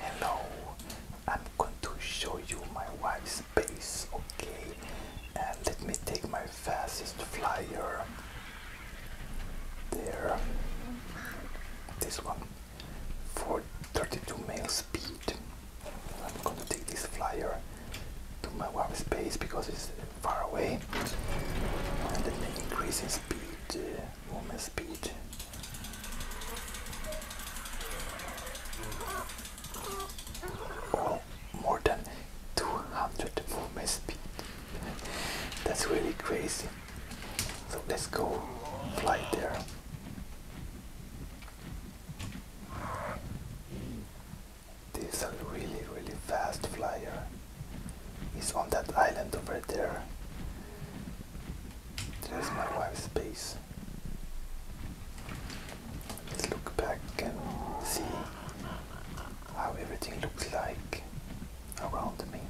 Hello, I'm going to show you my wife's base, okay? And let me take my fastest flyer. There. This one. For 32 mile speed. I'm going to take this flyer to my wife's base because it's far away. And let increase in speed. Uh, will Well, more than 200 mph. That's really crazy. So let's go fly there. This is a really really fast flyer. He's on that island over there. There's my wife's base. Let's look back and see how everything looks like around me.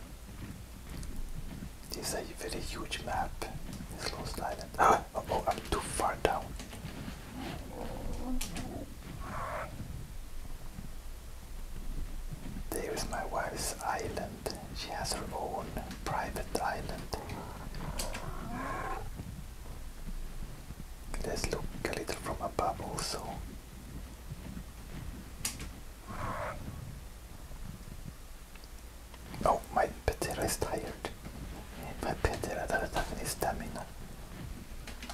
This is a very huge map. This lost island. Ah, oh, oh, I'm too far down. There is my wife's island. She has her own private island. Let's look a little from above also. Oh, my Petera is tired. My Petera doesn't have any stamina.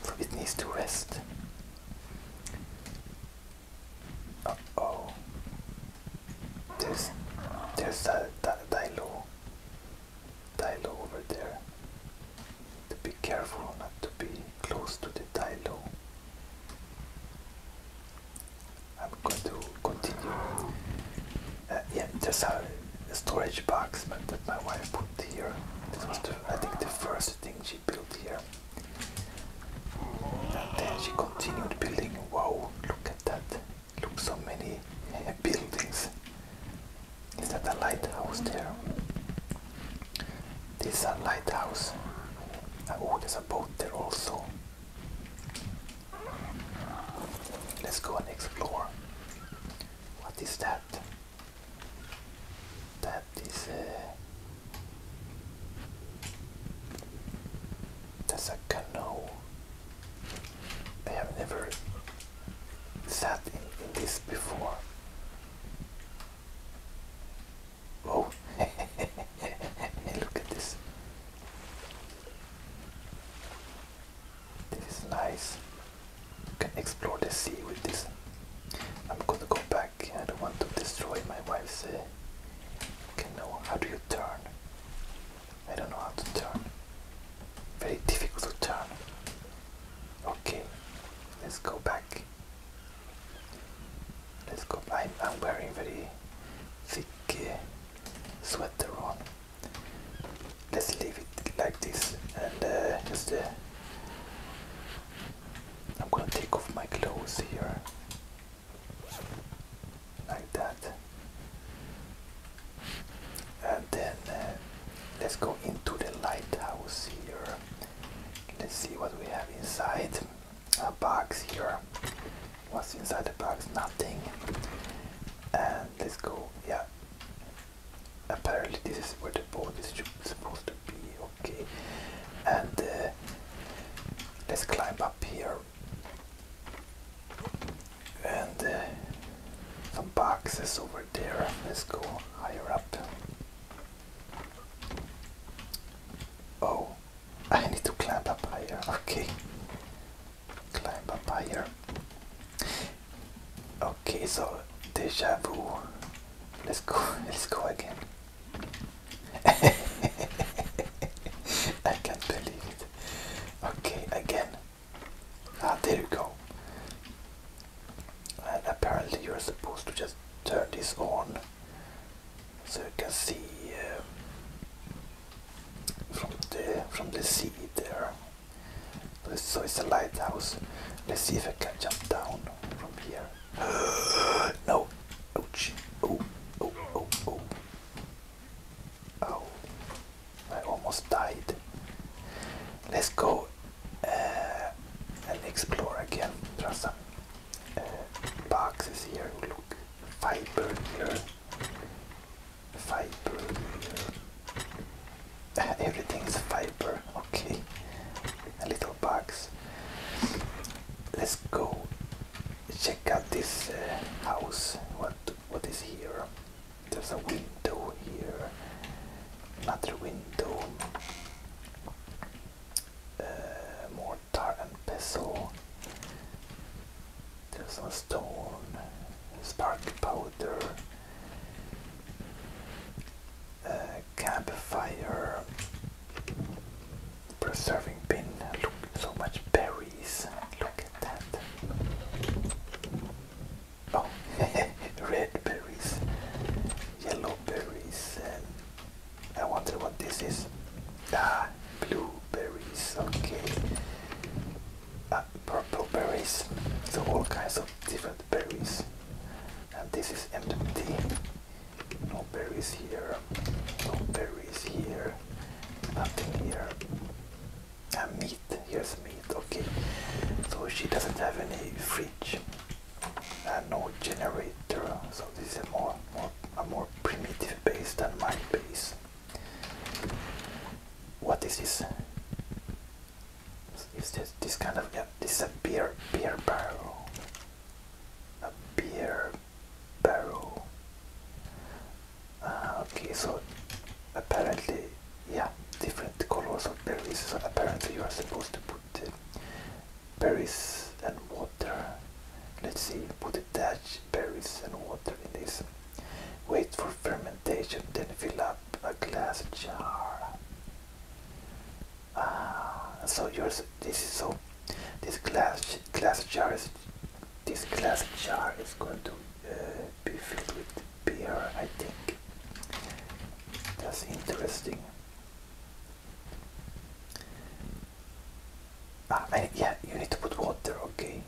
So it needs to rest oh. There's there's that that Dilo. over there. To be careful not to be close to the Dilo. I'm going to continue. Uh, yeah, there's a, storage box that my wife put here. This was I think the first thing she built here. And then uh, she continued building. Wow, look at that. Look, so many uh, buildings. Is that a lighthouse there? This is a lighthouse. Oh, there's a boat there also. Let's go and explore. What is that? That is. a. Uh, that's a canoe. I have never sat in, this before. Oh, look at this. This is nice. can explore the sea with this. I'm gonna go back. I don't want to destroy my wife's uh, Okay, now how do you turn? I don't know how to turn. Very difficult to turn. Okay, let's go back. Let's go. I'm, I'm wearing very thick uh, sweater on. Let's leave it like this and uh, just. Uh, I'm gonna take off my clothes here like that and then uh, let's go into the lighthouse here let's see what we have inside a box here what's inside the box nothing and let's go yeah apparently this is where the boat is supposed to be okay and uh, let's climb up here and uh, some boxes over there. Let's go higher up. Oh, I need to climb up higher. Okay, climb up higher. Okay, so deja vu. Let's go. Let's go again. I can't believe it. Okay, again. Ah, there you go. And apparently, you're supposed to just turn this on so you can see um, from the from the sea there. So it's a lighthouse. Let's see if I can jump down from here. no. Ouch. Oh, oh, oh, oh. Oh, I almost died. Let's go uh, and explore again. There are some uh, boxes here. Look, fiber here, fiber here. Everything is fiber. Okay, a little box. Let's go check out this uh, house. What what is here? There's a window here. Another window. Uh, mortar and pestle. There's a stone. Spark powder. Uh, campfire preserving bin. Look, so much berries. Look at that. Oh, red berries, yellow berries, and I wonder what this is. Ah, berries. Okay. Uh, purple berries. So all kinds of different berries. And this is empty. No berries here. No berries here. Nothing here. A meat. Here's meat. Okay. So she doesn't have any fridge and no generator. So this is a more, a more primitive base than my base. What is this? Is this this kind of yeah? This is beer beer barrel a beer barrel. Ah, okay, so apparently, yeah, different colors of berries. So apparently, you are supposed to put berries and water. Let's see, put a dash berries and water in this. Wait for fermentation, then fill up a glass jar. Ah, so yours. This is so this glass glass jar is this glass jar is going to uh, be filled with beer, I think. That's interesting. Ah, yeah, you need to put water. Okay,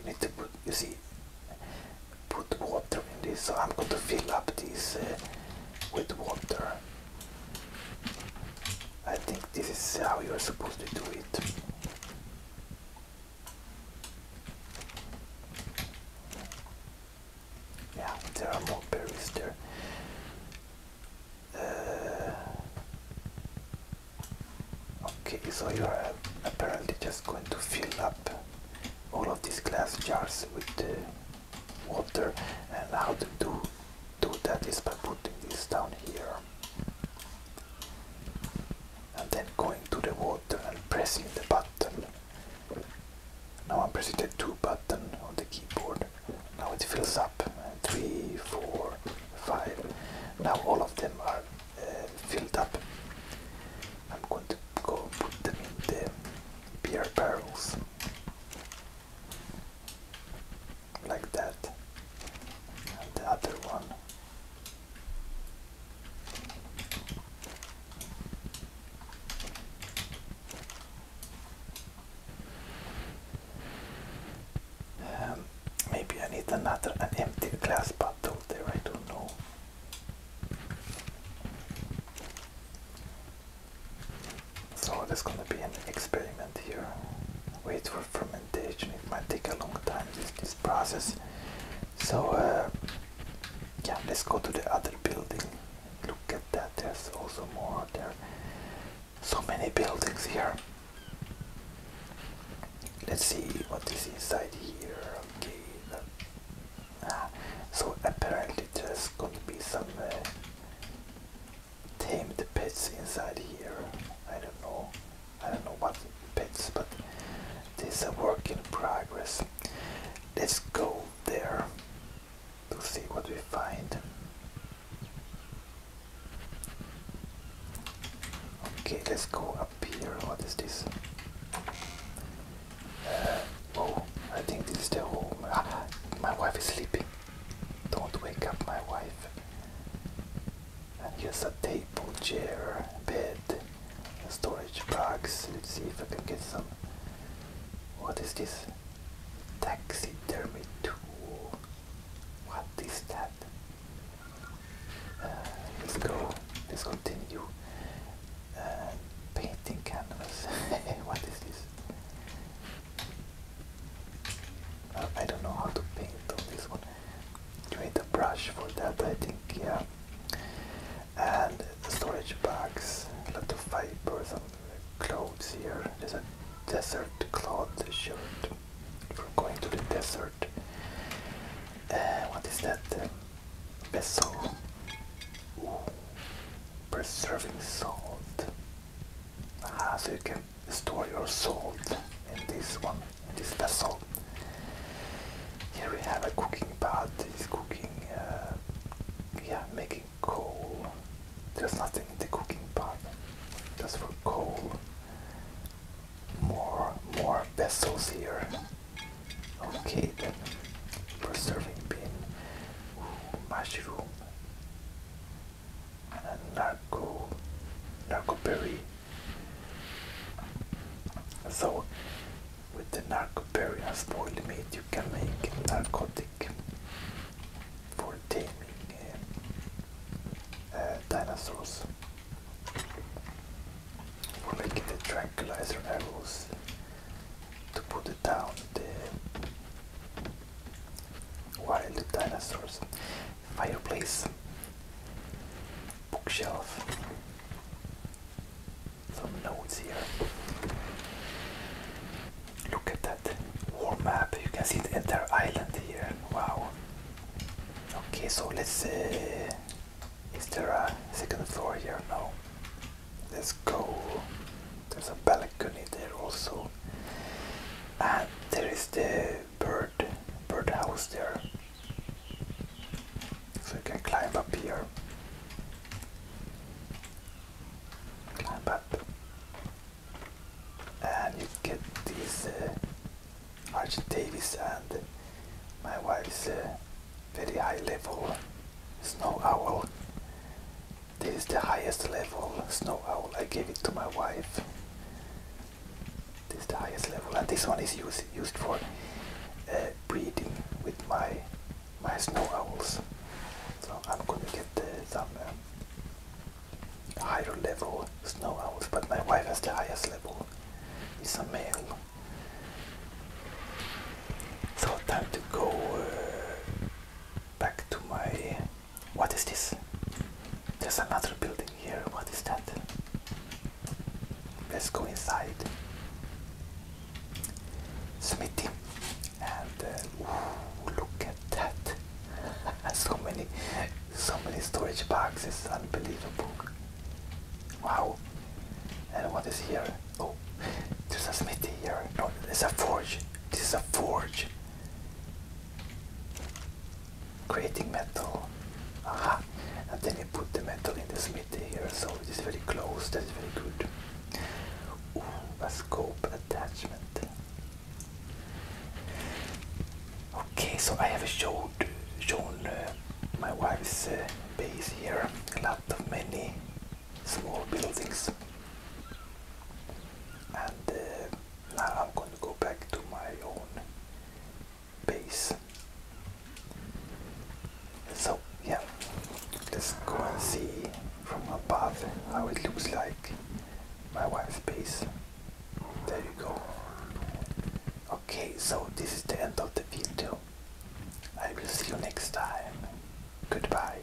you need to put. You see, put water in this. So I'm going to fill up this uh, with water. I think this is how you're supposed to do it. Yeah, there are more berries there. Uh, okay, so you're apparently just going to fill up all of these glass jars with uh, water and how to do do that is by putting this down here and then going to the water and pressing the button. Now I'm pressing the 2 button on the keyboard. Now it fills up. Three, four, five. Now all of them are uh, filled up. I'm going to go put them in the beer barrels like that and the other one um, maybe I need another an empty glass bottle there I don't know so there's gonna be an experiment here. Wait for fermentation. It might take a long time this this process. So uh, yeah, let's go to the other building. Look at that. There's also more there. So many buildings here. Let's see what is inside here. Okay. Ah, so apparently there's going to be some. Uh, tame the pits inside here. I don't know. I don't know what pits, but this is a work in progress. Let's go there to see what we find. Okay, let's go up here. What is this? Uh, oh, I think this is the home. Ah, my wife is sleeping. Don't wake up my wife. And here's a table, chair, bed, storage box. Let's see if I can get some. What is this? Taxidermy tool. What is that? Uh, let's go. Let's continue. Uh, painting canvas. what is this? I don't know how to paint on this one. You need a brush for that, I think, yeah. And storage bags, a lot of fibers and clothes here. There's a desert cloth shirt from going to the desert. Uh, what is that? Uh, Preserving salt. Ah, so you store your salt in this one, in this vessel. Here we have a cooking pot, it's cooking, uh, yeah, making coal. There's nothing in the cooking pot, just for coal. More, more vessels here. Okay then, preserving bin, mushroom, narco narco berry. So with the narco berry and spoiled meat you can make narcotic for taming uh, uh, dinosaurs. For making the tranquilizer arrows to put it down what in the dinosaurs? Fireplace, bookshelf, some notes here. Look at that warm map. You can see the entire island here. Wow. Okay, so let's. see. Uh, is there a second floor here? No. Let's go. There's a balcony there also and there is the bird bird house there so you can climb up here climb up and you get these uh, Archie Davis and my wife's uh, very high level snow owl this is the highest level snow owl. I gave it to my wife. This is the highest level, and this one is used used for uh, breeding with my my snow owls. So I'm gonna get uh, some um, higher level snow owls, but my wife has the highest level. It's a male. So time to go uh, back to my what is this? There's another building here. What is that? Let's go inside. Smithy. And uh, look at that. so many so many storage boxes. Unbelievable. Wow. And what is here? Oh, there's a smithy here. No, there's a forge. This is a forge creating metal. Aha! And then you put the metal in the smith here, so it is very close, that is very good. Ooh, a scope attachment. Okay, so I have showed, shown uh, my wife's uh, base here. A lot of many small buildings. And uh, now I'm going to go back to my own base. So yeah, let's go and see from above how it looks like my wife's base. There you go. Okay, so this is the end of the video. I will see you next time. Goodbye.